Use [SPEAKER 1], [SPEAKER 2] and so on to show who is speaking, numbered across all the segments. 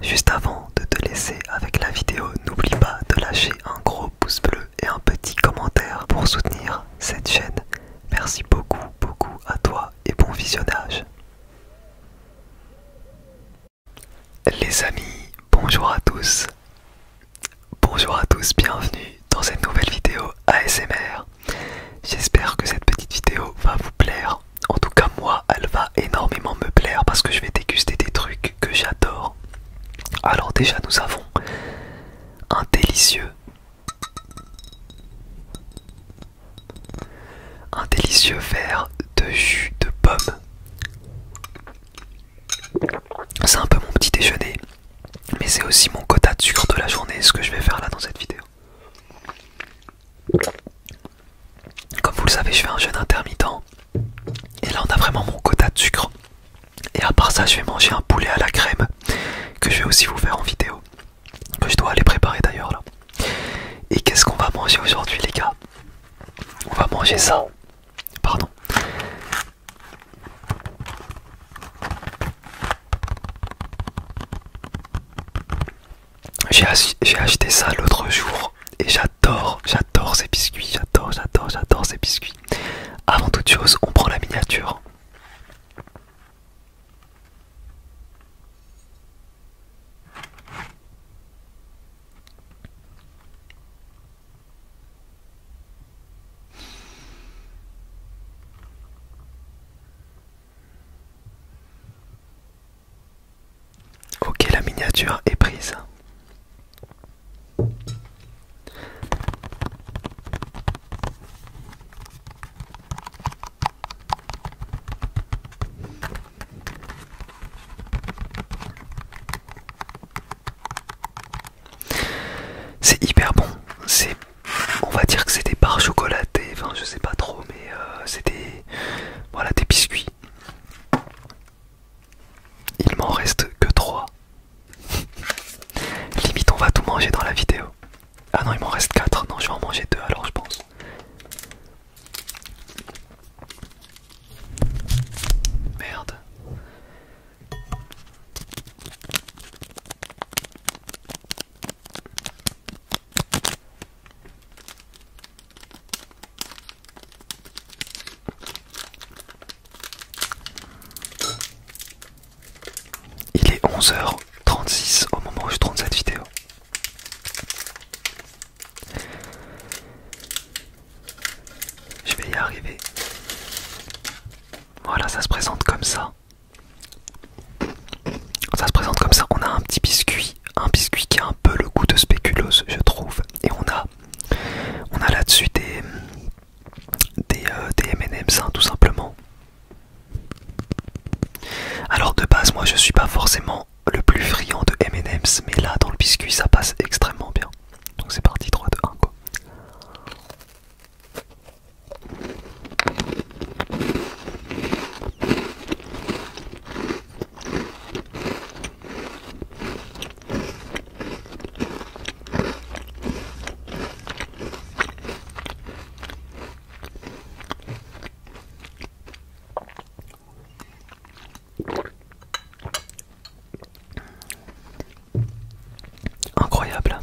[SPEAKER 1] Juste avant de te laisser avec la vidéo, n'oublie pas de lâcher un gros pouce bleu et un petit commentaire pour soutenir cette chaîne. Merci beaucoup, beaucoup à toi et bon visionnage. Les amis, bonjour à tous. Bonjour à tous, bienvenue dans cette nouvelle vidéo ASMR. J'espère que cette petite vidéo va vous plaire en tout cas, moi, elle va énormément me plaire parce que je vais déguster des trucs que j'adore. Alors déjà, nous avons un délicieux, un délicieux verre de jus de pomme. C'est un peu mon petit déjeuner, mais c'est aussi mon quota de sucre de la journée, ce que je vais faire là dans cette vidéo. Comme vous le savez, je fais un jeûne intermittent. Et là, on a vraiment mon quota de sucre. Et à part ça, je vais manger un poulet à la crème que je vais aussi vous faire en vidéo. Que je dois aller préparer d'ailleurs là. Et qu'est-ce qu'on va manger aujourd'hui, les gars On va manger ça. Pardon. J'ai acheté ça l'autre jour et j'adore, j'adore ces biscuits, j'adore, j'adore, j'adore ces biscuits. Avant toute chose, on prend la miniature. Ok, la miniature est prise. C'est hyper bon. C'est, on va dire que c'est des barres chocolatées. Enfin, je sais pas trop, mais euh, c'était voilà, des biscuits. Il m'en reste que 3. Limite, on va tout manger dans la vidéo. Ah non, il m'en reste 4. Non, je vais en manger 2 alors, je pense. Merde. Il est 11h36 au moment où je tourne cette vidéo. Je vais y arriver. Voilà, ça se présente comme ça. Ça se présente comme ça. On a un petit biscuit, un biscuit qui a un peu le goût de spéculoos, je trouve. Et on a, on a là-dessus des des, euh, M&M's hein, tout simplement. Alors de base, moi, je suis pas forcément le plus friand de M&M's, mais là, dans le biscuit, ça passe extrêmement bien. Donc c'est parti 3, 2, 1 quoi. Incroyable.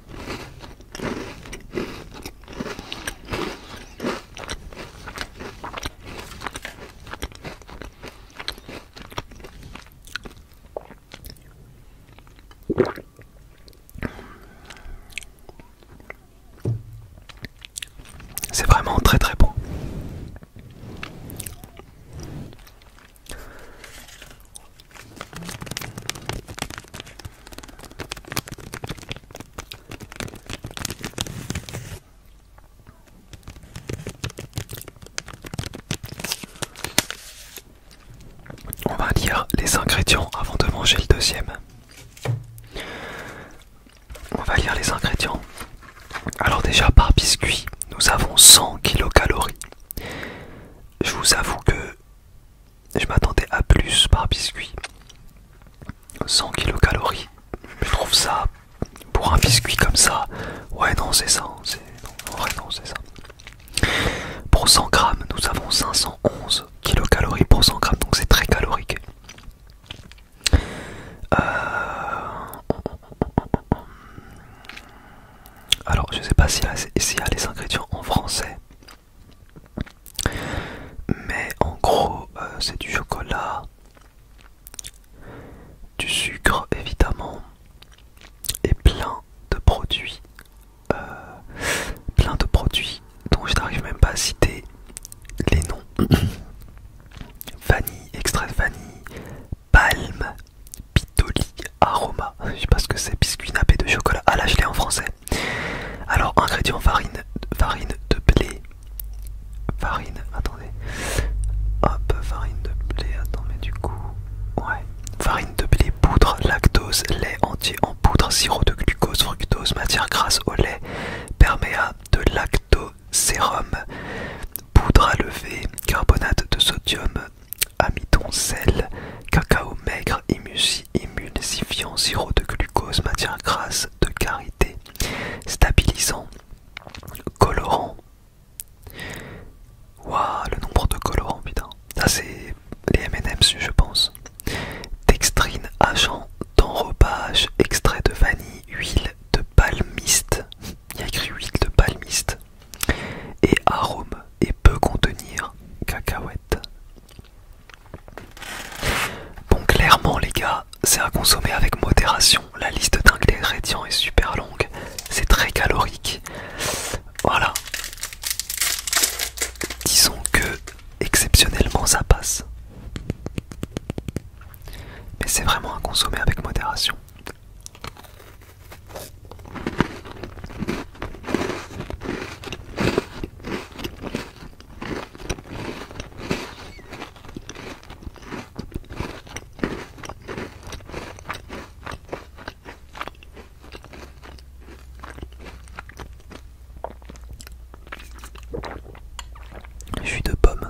[SPEAKER 1] C'est vraiment très très bon. On va lire les ingrédients avant de manger le deuxième. On va lire les ingrédients. Alors déjà par biscuit, nous avons 100 kcal. Je vous avoue que je m'attendais à plus par biscuit. 100 kilocalories. Je trouve ça pour un biscuit comme ça. Ouais, non, c'est ça. c'est ça. Pour 100 grammes, nous avons 511 kilocalories pour 100 grammes, donc c'est très calorique. Euh... Alors, je sais pas si euh, si y a les ingrédients en français, mais en gros, euh, c'est du chocolat, du sucre évidemment, et plein de produits, euh, plein de produits dont je n'arrive même pas à citer les noms. vanille, extrait de vanille, palme pitoli aroma. Je sais pas ce que c'est, biscuit nappé de chocolat. Ah là, je l'ai en français. Alors, ingrédients farine, farine de blé. Farine, attendez. Hop, farine de blé, attendez du coup. Ouais. Farine de blé, poudre, lactose, lait entier en poudre, sirop de glucose, fructose, matière grasse au lait, perméa de lactosérum, poudre à lever, carbonate de sodium, amidon, sel, cacao maigre, émulsifiant, sirop de glucose, matière grasse de carité stabilisant, colorant. Waouh, le nombre de colorants, putain. Ça, c'est les MM's, je pense. Dextrine, agent d'enrobage, extrait de vanille, huile de palmiste. Il y a écrit huile de palmiste et arôme et peut contenir cacahuètes. Bon, clairement, les gars, c'est à consommer avec modération. La liste d'ingrédients est super longue, c'est très calorique. Voilà. Disons que exceptionnellement ça passe. Mais c'est vraiment à consommer avec modération. Je suis de pomme.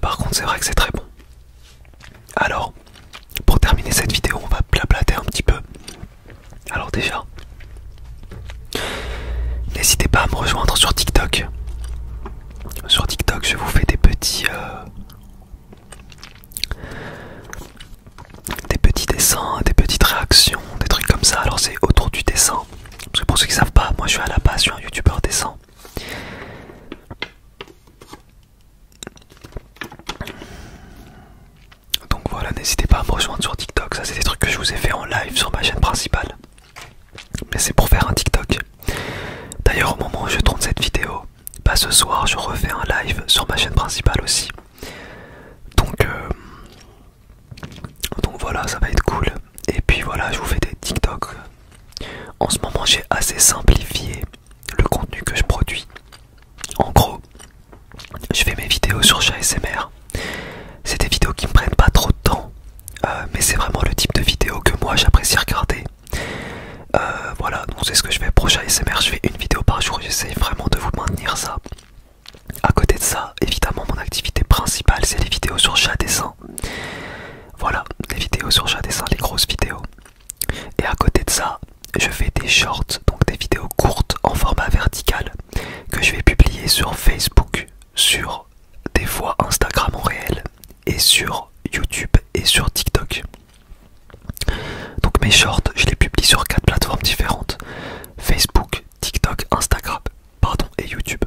[SPEAKER 1] Par contre, c'est vrai que c'est très bon. Alors, pour terminer cette vidéo, on va blablater un petit peu. Alors déjà, n'hésitez pas à me rejoindre sur TikTok. Sur TikTok, je vous fais des petits, euh, des petits dessins, des petites réactions, des trucs comme ça. Alors c'est autour du dessin, parce que pour ceux qui savent pas, moi je suis à la base, je suis un youtubeur décent. Donc voilà, n'hésitez pas à me rejoindre sur TikTok. Ça, c'est des trucs que je vous ai fait en live sur ma chaîne principale. Mais c'est pour faire un TikTok. D'ailleurs, au moment où je tourne cette vidéo, pas bah, ce soir, je refais un live sur ma chaîne principale aussi. Donc, euh, donc voilà, ça va être cool. Et puis voilà, je vous fais des TikTok. En ce moment, j'ai assez simplifié le contenu que je produis. En gros, je fais mes vidéos sur chat C'est des vidéos qui me prennent pas trop de temps, euh, mais c'est vraiment le type de vidéo que moi j'apprécie regarder. Euh, voilà, donc c'est ce que je fais pour chat Je fais une vidéo par jour. J'essaie vraiment de vous maintenir ça. À côté de ça, évidemment, mon activité principale, c'est les vidéos sur chat dessin. Voilà, les vidéos sur chat dessin, les grosses vidéos. Et à côté de ça, je fais des shorts, donc des vidéos courtes en format vertical, que je vais publier sur Facebook, sur des fois Instagram en réel, et sur YouTube et sur TikTok. Donc mes shorts, je les publie sur quatre plateformes différentes. Facebook, TikTok, Instagram, pardon, et YouTube.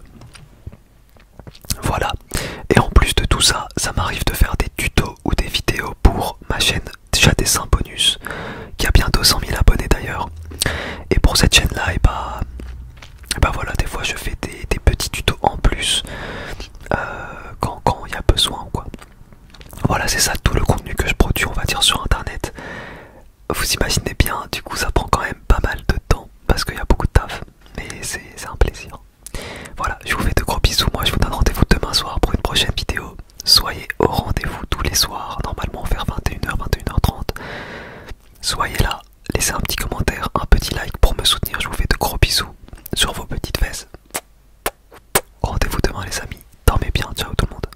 [SPEAKER 1] Voilà. Et en plus de tout ça, ça m'arrive de faire des tutos ou des vidéos pour ma chaîne déjà Dessin Bonus, qui a bientôt 100 000 abonnés d'ailleurs. Et pour cette chaîne-là, et eh bah, ben, eh ben voilà, des fois je fais des, petits tutos en plus euh, quand il y a besoin, quoi. Voilà, c'est ça tout le contenu que je produis, on va dire, sur Internet vous imaginez bien, du coup ça prend quand même pas mal de temps parce qu'il y a beaucoup de taf, mais c'est un plaisir. Voilà, je vous fais de gros bisous, moi je vous donne rendez-vous demain soir pour une prochaine vidéo. Soyez au rendez-vous tous les soirs, normalement vers 21h, 21h30. Soyez là, laissez un petit commentaire, un petit like pour me soutenir, je vous fais de gros bisous sur vos petites fesses. Rendez-vous demain les amis, dormez bien, ciao tout le monde.